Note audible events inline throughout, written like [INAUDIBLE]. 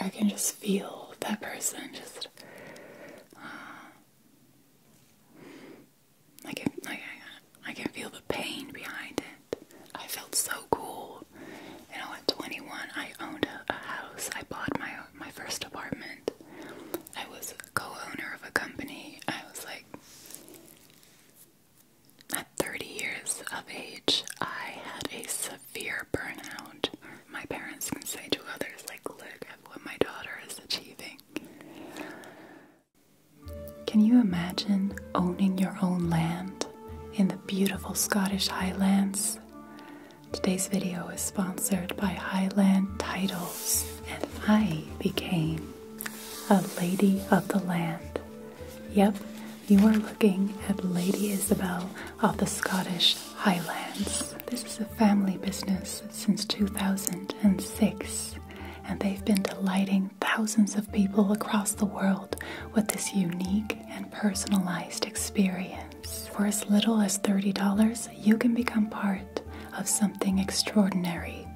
I can just feel that person just uh, I can feel the pain behind it. I felt so cool. You know, at 21, I owned a, a house. I bought my my first apartment. I was co-owner of a company. I was like at 30 years of age, I had a Fear burnout. My parents can say to others, like, look at what my daughter is achieving. Can you imagine owning your own land in the beautiful Scottish Highlands? Today's video is sponsored by Highland Titles, and I became a lady of the land. Yep, you are looking at Lady Isabel of the Scottish Highlands. This is a family business since 2006, and they've been delighting thousands of people across the world with this unique and personalized experience. For as little as $30, you can become part of something extraordinary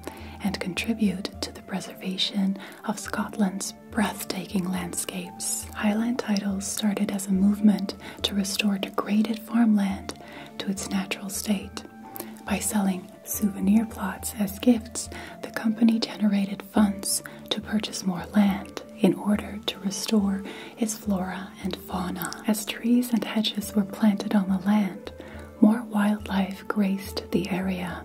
and contribute to the preservation of Scotland's these breathtaking landscapes, Highland Titles started as a movement to restore degraded farmland to its natural state. By selling souvenir plots as gifts, the company generated funds to purchase more land in order to restore its flora and fauna. As trees and hedges were planted on the land, more wildlife graced the area,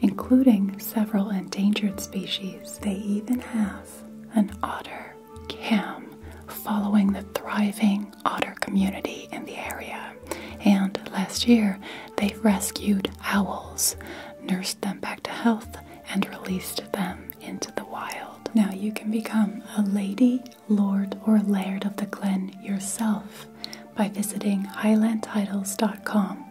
including several endangered species. They even have an otter cam following the thriving otter community in the area. And last year, they rescued owls, nursed them back to health, and released them into the wild. Now you can become a lady, lord, or laird of the glen yourself by visiting highlandtitles.com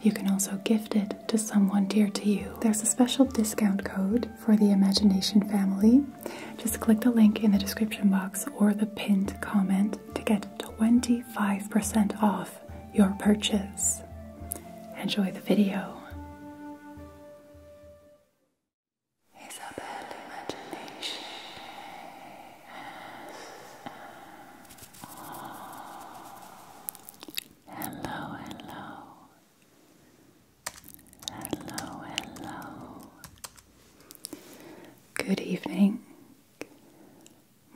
you can also gift it to someone dear to you. There's a special discount code for the Imagination family. Just click the link in the description box or the pinned comment to get 25% off your purchase. Enjoy the video. Isabel Imagination. Hello, hello. Hello, hello. Good evening.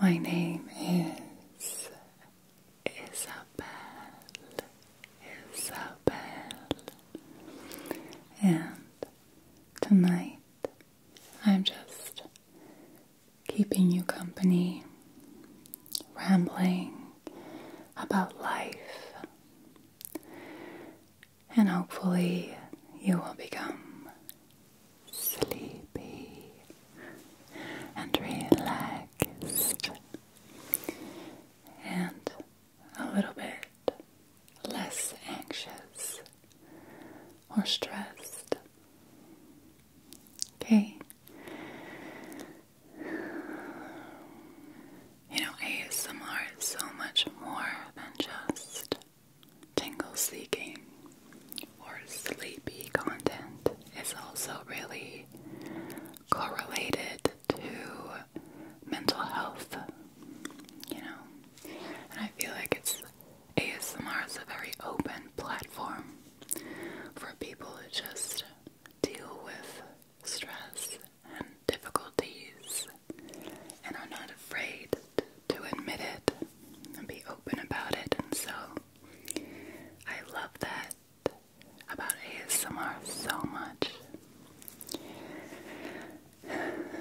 My name is Isabel. Isabel. And tonight I'm just keeping you company rambling about life, and hopefully, you will become sleepy and relaxed and a little bit less anxious or stressed. Okay, you know, ASMR is so much more than just tingle seeking or sleepy content. It's also really correlated to mental health, you know. And I feel like it's ASMR is a very open platform for people to just deal with stress and difficulties and are not afraid to admit it and be open about it. And so I love that about ASMR so much. [SIGHS]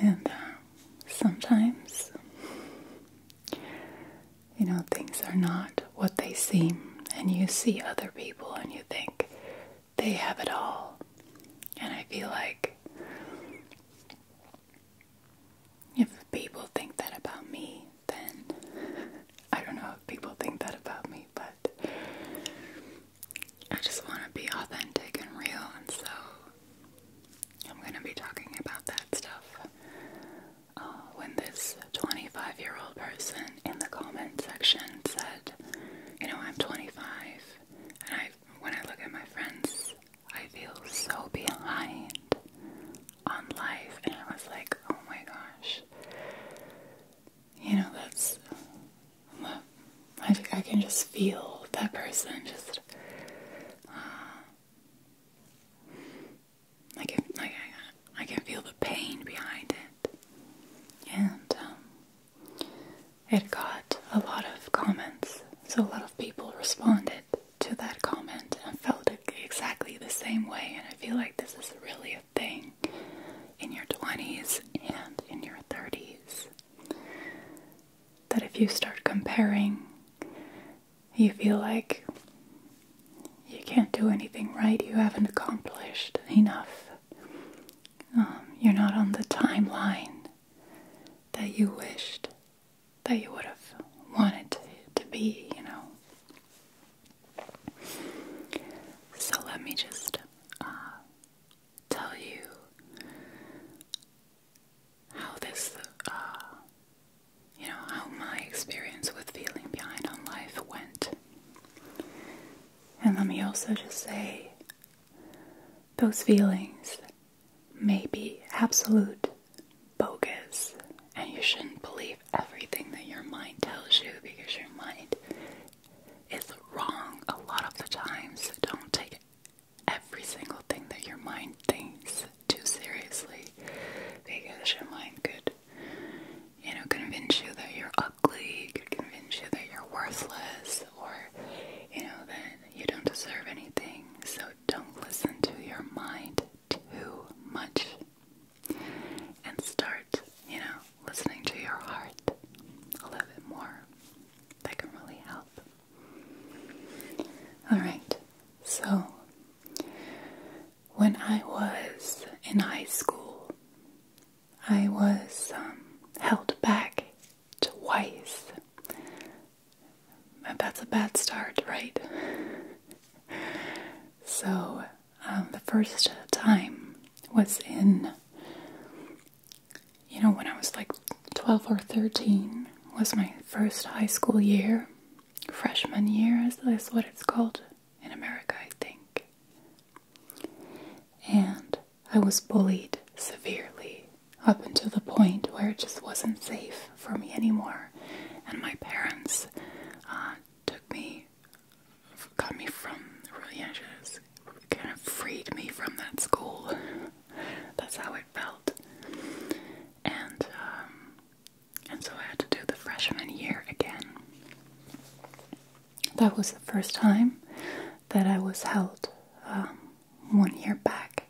And uh, sometimes you know, things are not what they seem, and you see other people and you think they have it all. And I feel like if people think that about me, then [LAUGHS] I don't know if people think that about me, but I just want to be authentic and real, and so I'm going to be talking about that stuff uh, when this 25 year old person in the comment section said, You know, I'm 25, and I, when I look at my friends, I feel so behind on life. And I was like, Oh my gosh. You know, that's. I, I can just feel that person just. Uh, I can, I, can feel the pain behind it. And um, it got a lot of comments, so a lot of people responded to that comment and felt exactly the same way. And I feel like this is really a thing in your 20s and in your 30s. That if you start comparing you feel like you can't do anything right, you haven't accomplished enough, um, you're not on the timeline that you wished that you would have wanted to, be, you know. So let me just uh, tell you how this uh, you know, how my experience with feeling behind on life went. And let me also just say those feelings may be absolute bogus, and you shouldn't believe everything that your mind tells you because your mind is wrong a lot of the times. don't take every single thing that your mind thinks too seriously because your mind could you know, convince you that you're ugly, convince you that you're worthless, or, you know, that you don't deserve anything. So don't listen to your mind too much. And start, you know, listening to your heart a little bit more. That can really help. Alright, so when I was in high school, I was um, held back twice. That's a bad start, right? so, um, the first time was in, you know, when I was like 12 or 13, was my first high school year, freshman year, is what it's called in America, I think. And I was bullied severely up until the point where it just wasn't safe for me anymore. And my parents uh, took me, got me from, really, anxious, kind of freed me from that school. [LAUGHS] That's how it felt. And um, and so I had to do the freshman year again. That was the first time that I was held um, one year back,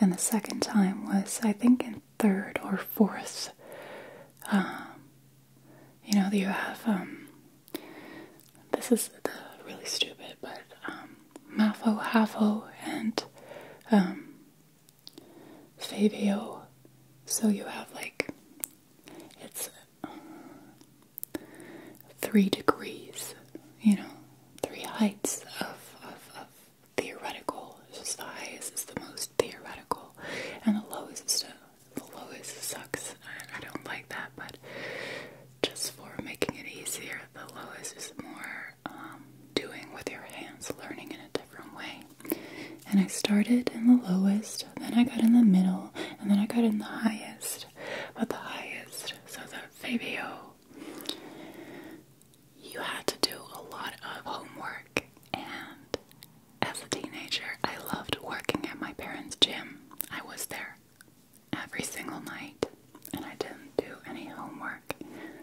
and the second time was, I think, in third or fourth. Um, you know, you have, um, this is really stupid, but um, MAFO, HAFO, and Fabio. So you have like it's three degrees, you know, three heights of, of, theoretical. It's the highest is the most theoretical, and the lowest is the, lowest sucks. I, don't like that, but just for making it easier, the lowest is more um, doing with your hands, learning in a different way. And I started in the lowest, then I got in the middle, and then I got in the highest. But the highest, so that Fabio, you had to do a lot of homework. And as a teenager, I loved working at my parents' gym. I was there every single night, and I didn't do any homework,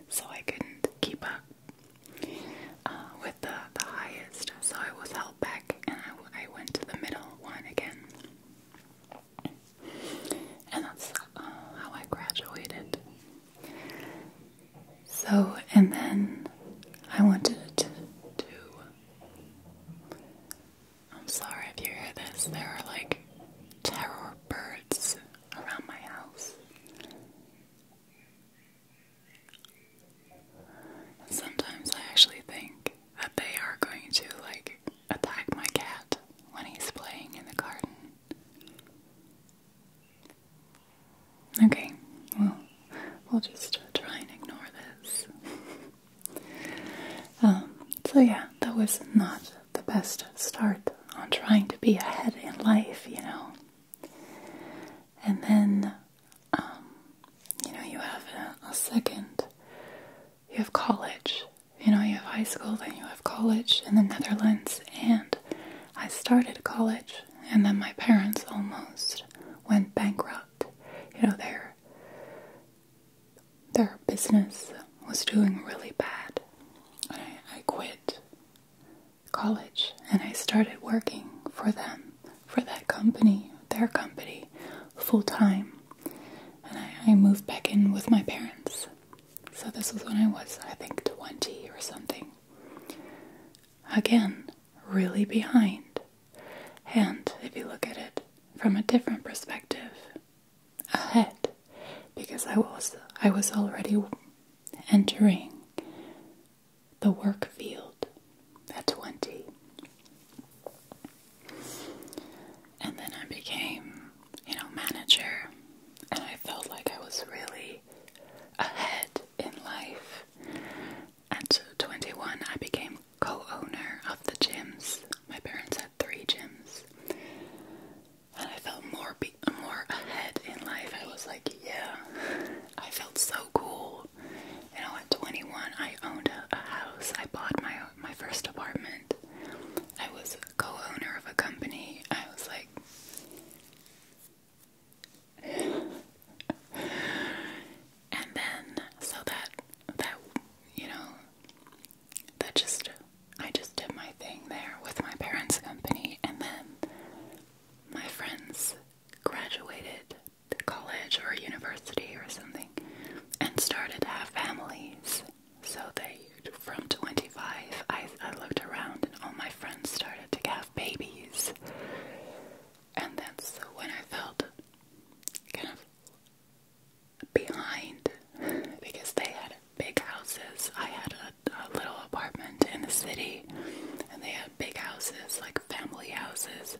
so I couldn't keep up. Uh, with the, highest, so I was held back and I, went to the middle one again. And that's uh, how I graduated. So, and then I wanted to I'm sorry if you hear this, there are like terror birds around my house sometimes I actually think that they are going to like attack my cat when he's playing in the garden. Okay, well, we'll just try and ignore this. Um, so, yeah, that was not the best start on trying to be ahead in life, you know. And then, um, you know, you have a, second, you have college. You know, you have high school, then you have college in the Netherlands, and I started college, and then my parents almost went bankrupt. You know, their their business was doing really bad, I quit college and I started working for them, for that company, their company, full time. And I, moved back in with my parents. So this was when I was, I think, 20 or something. Again, really behind. And if you look at it from a different perspective, ahead, because I was I was already entering the work field at 20. And then I became, you know, manager, and I felt like I was really ahead in life. At 21, I became co owner of the gyms. My parents had three gyms. And I felt more more ahead in life. I was like yeah, I felt so cool. You know, at 21, I owned a, house. I bought my my first apartment. I was co-owner of a company. I was like, [SIGHS] and then so that that you know that just I just did my thing there with my parents' company, and then my friends graduated college or university or something and started to have families. So they, from 25, I, I looked around and all my friends started to have babies. And that's when I felt kind of behind [LAUGHS] because they had big houses. I had a, little apartment in the city, and they had big houses, like family houses.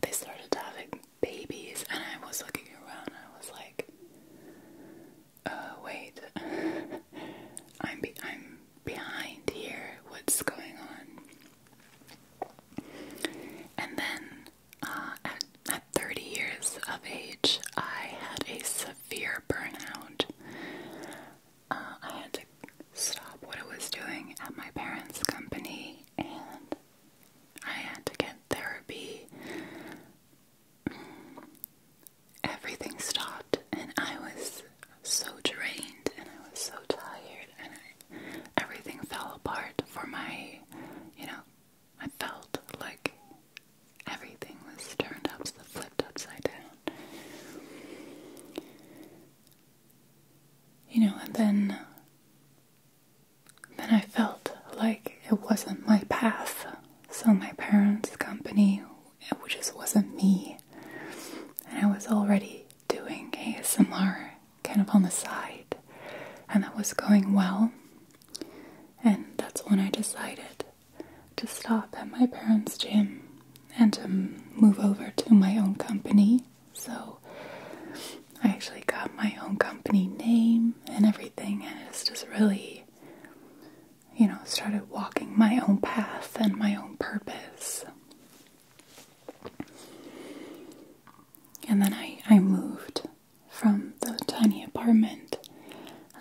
They started having babies, and I was looking around, I was like, "Oh wait, [LAUGHS] I'm be I'm behind here. What's going on?" And then, uh, at at 30 years of age, I had a severe burnout. Uh, I had to stop what I was doing at my parents' company and I had to get therapy. Everything stopped, and I was so drained, and I was so tired, and I, everything fell apart for my, you know, I felt like everything was turned up, flipped upside down. You know, and then then I felt like it wasn't my path. So my parents' company it just wasn't me. And I was already doing ASMR kind of on the side. And that was going well. And that's when I decided to stop at my parents' gym and to move over to my own company. So I actually got my own company name and everything, and just really, you know, started walking my own path and my own purpose. And then I, I moved from the tiny apartment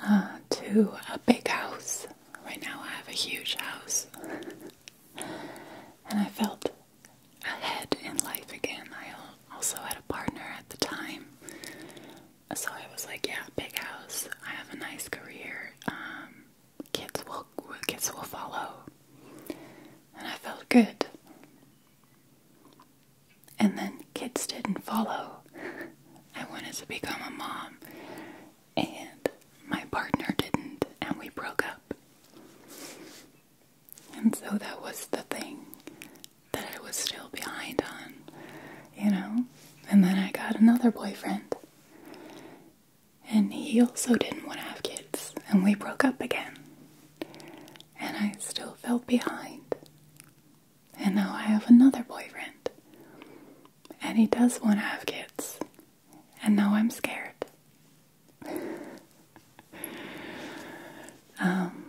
uh, to a big house. Right now, I have a huge house. [LAUGHS] and I felt ahead in life again. I also had a partner at the time, so I was like, "Yeah, big house. I have a nice career. Um, kids will kids will follow," and I felt good. And then kids didn't follow. I wanted to become a mom, and my partner didn't, and we broke up. And so that was the thing that I was still behind on, you know? And then I got another boyfriend, and he also didn't want to have kids, and we broke up again. And I still felt behind. And now I have another boyfriend. And he does want to have kids and now I'm scared. um,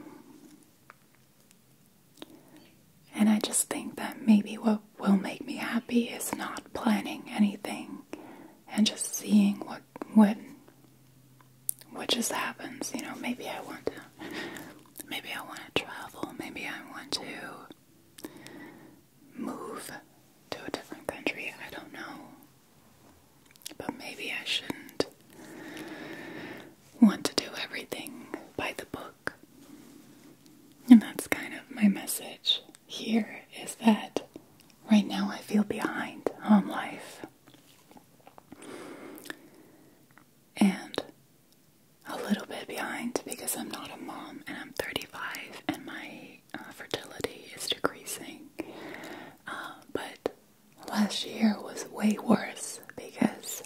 and I just think that maybe what will make me happy is not planning anything and just seeing what what what just happens. You know, maybe I want to maybe I want to travel, maybe I want to move to a different country. I don't know. But maybe I shouldn't want to do everything by the book. And that's kind of my message here is that right now I feel behind on life. And a little bit behind because I'm not a mom and I'm 35 and my uh, fertility is decreasing. Uh, but last year was way worse because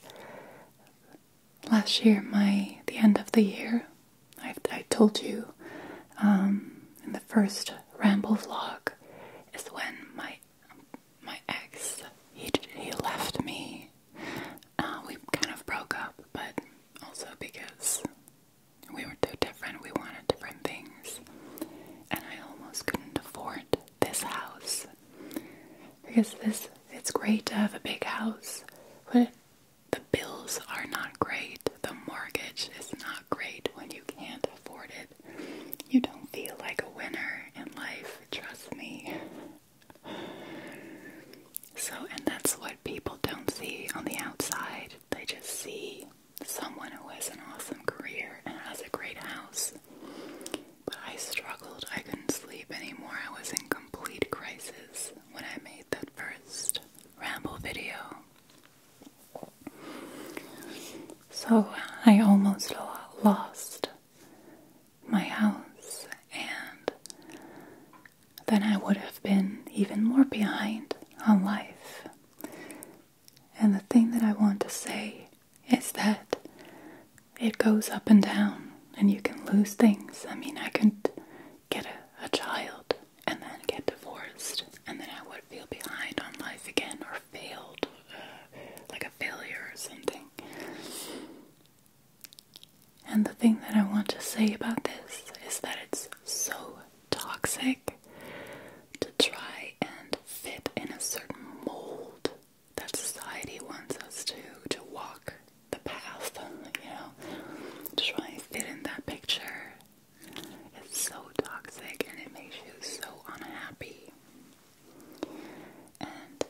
last year, my the end of the year, I, I told you um, in the first ramble vlog is when my my ex he he left me. Uh, we kind of broke up, but also because we were too different. We wanted different things. And I almost couldn't afford this house. Because this it's great to have a big house, but the bills are not great. The mortgage is not great when you can't afford it. You don't feel like a winner in life, trust me. So, and that's why people don't see on the outside. They just see someone who has an awesome career and has a great house. But I struggled. I couldn't sleep anymore. I was in complete crisis when I made that first ramble video. So uh, I almost lost my house and then I would have been even more behind on life. And the thing that I want to say is that it goes up and down, and you can lose things. I mean, I could get a, child and then get divorced, and then I would feel behind on life again or failed, uh, like a failure or something. And the thing that I want to say about this is that it's so toxic to try and fit in a certain mold that society wants us to to walk the path, you know, to try and fit in that picture. It's so toxic and it makes you so unhappy. And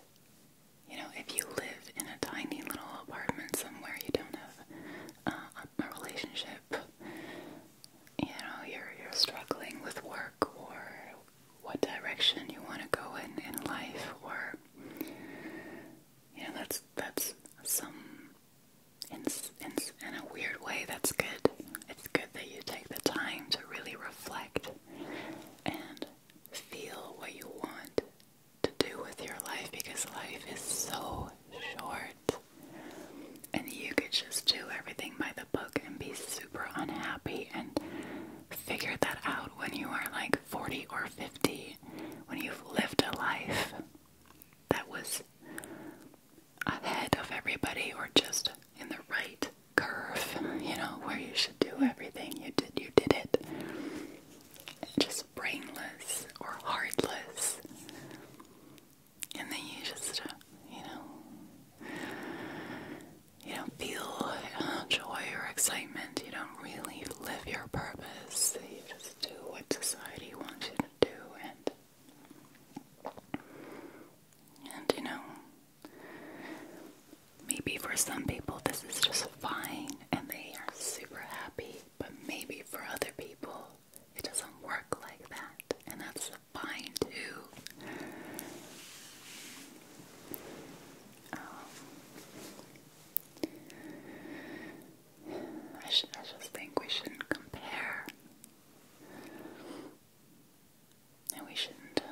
you know, if you live in a tiny little apartment somewhere, you don't have uh, a relationship, you know, you're you're struggling with work or what direction you want to go in in life, or you know, that's that's some in in in a weird way. That's good. It's good that you take the time to really reflect and feel what you want to do with your life because life is so short. And you could just do everything by the book and be super unhappy and figure that out when you are like 40 or 50, when you've lived a life that was ahead of everybody or just in the right curve, you know, where you should do everything. You did you did it just brainless or heartless. And then you just, uh, you know, you don't feel uh, joy or excitement. You don't really live your purpose. You just do what society wants you to do, and and you know, maybe for some people this is just fine, and they are super happy but maybe for other people, it doesn't work like that, and that's fine too. Um, I, should, I just think we shouldn't compare. And we shouldn't uh,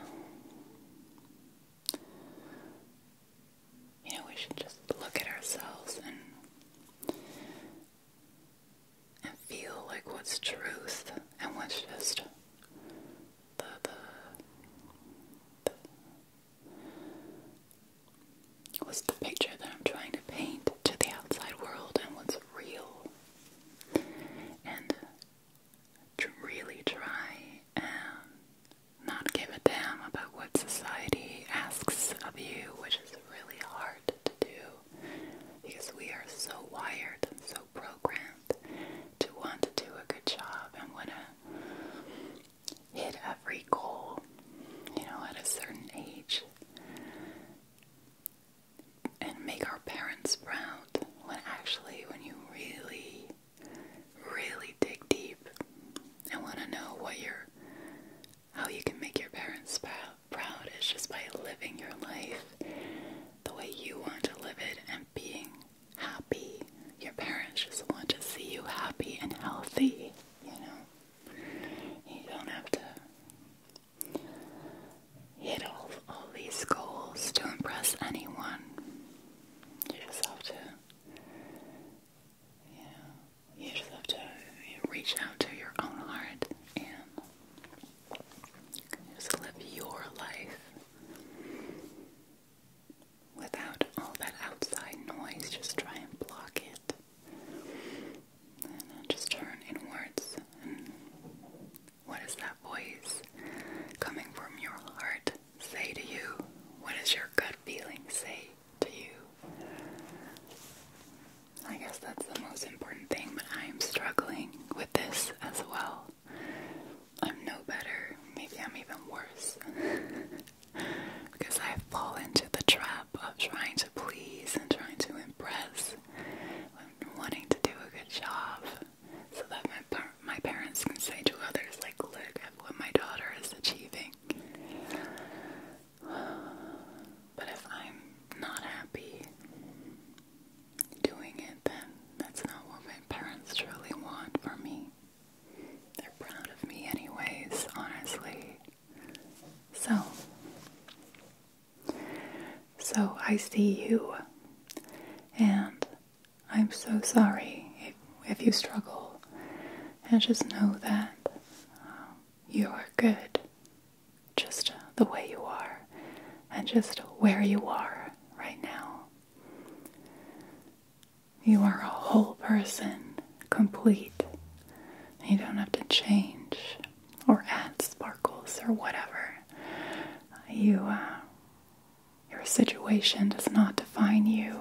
you know, we should just look at ourselves and and feel like what's truth and what's just the What's the picture that I'm trying to paint to the outside world and what's real? And really try and not give a damn about what society asks of you, which is really hard to do because we are so wired and so programmed to want to do a good job and want to hit every goal, you know, at a certain age and make our parents proud when actually, when you really, really dig deep and want to know what you're how you can make your parents proud is just by living your life the way you want to live it and being happy. Your parents just want to see you happy and healthy, you know? You don't have to hit all, all these goals to impress anyone. You just have to yeah, you just have to reach out to your own heart and just live your life without all that outside noise. Just try and block it. And uh, just turn inwards. And what is that voice coming from your heart say to you? What does your gut feeling say? to you. I guess that's the most important thing, but I'm struggling with this as well. I'm no better, maybe I'm even worse. [LAUGHS] because I fall into the trap of trying to please and trying to impress, and wanting to do a good job so that my, my parents can say to others, like, look at what my daughter is achieving. But if I'm not happy doing it, then that's not what my parents truly want for me. They're proud of me, anyways, honestly. So, so I see you, and I'm so sorry if, if you struggle and just know that um, you are good just uh, the way you are and just where you are right now. You are a whole person, complete. You don't have to change or add sparkles or whatever. You, uh, your situation does not define you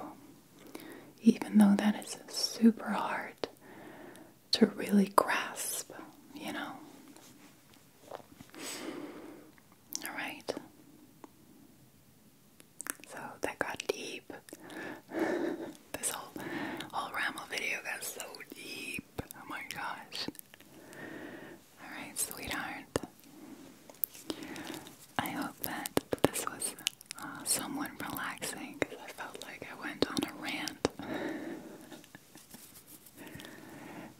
even though that is super hard to really grasp, you know. All right. So that got deep. [LAUGHS] this whole whole Ramble video got so deep. Oh my gosh. All right, sweetheart. I hope that this was uh, relaxing because I felt like I went on a rant.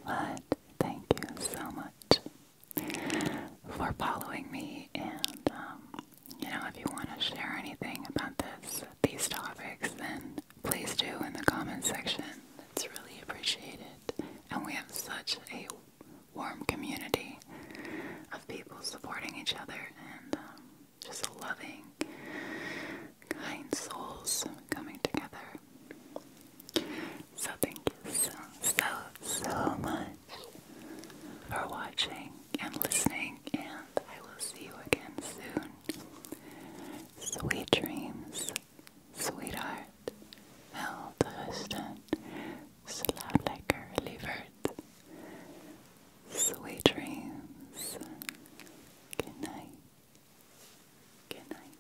but thank you so much for following me, and um, you know, if you want to share anything about this, these topics, then please do in the comment section. It's really appreciated, and we have such a warm community of people supporting each other and um, just loving, kind souls coming together. So, thank you so, so, so much for watching and listening, and I will see you again soon. Sweet dreams, sweetheart. Mel the Huston, Lekker Lievert, Sweet dreams. Good night. Good night.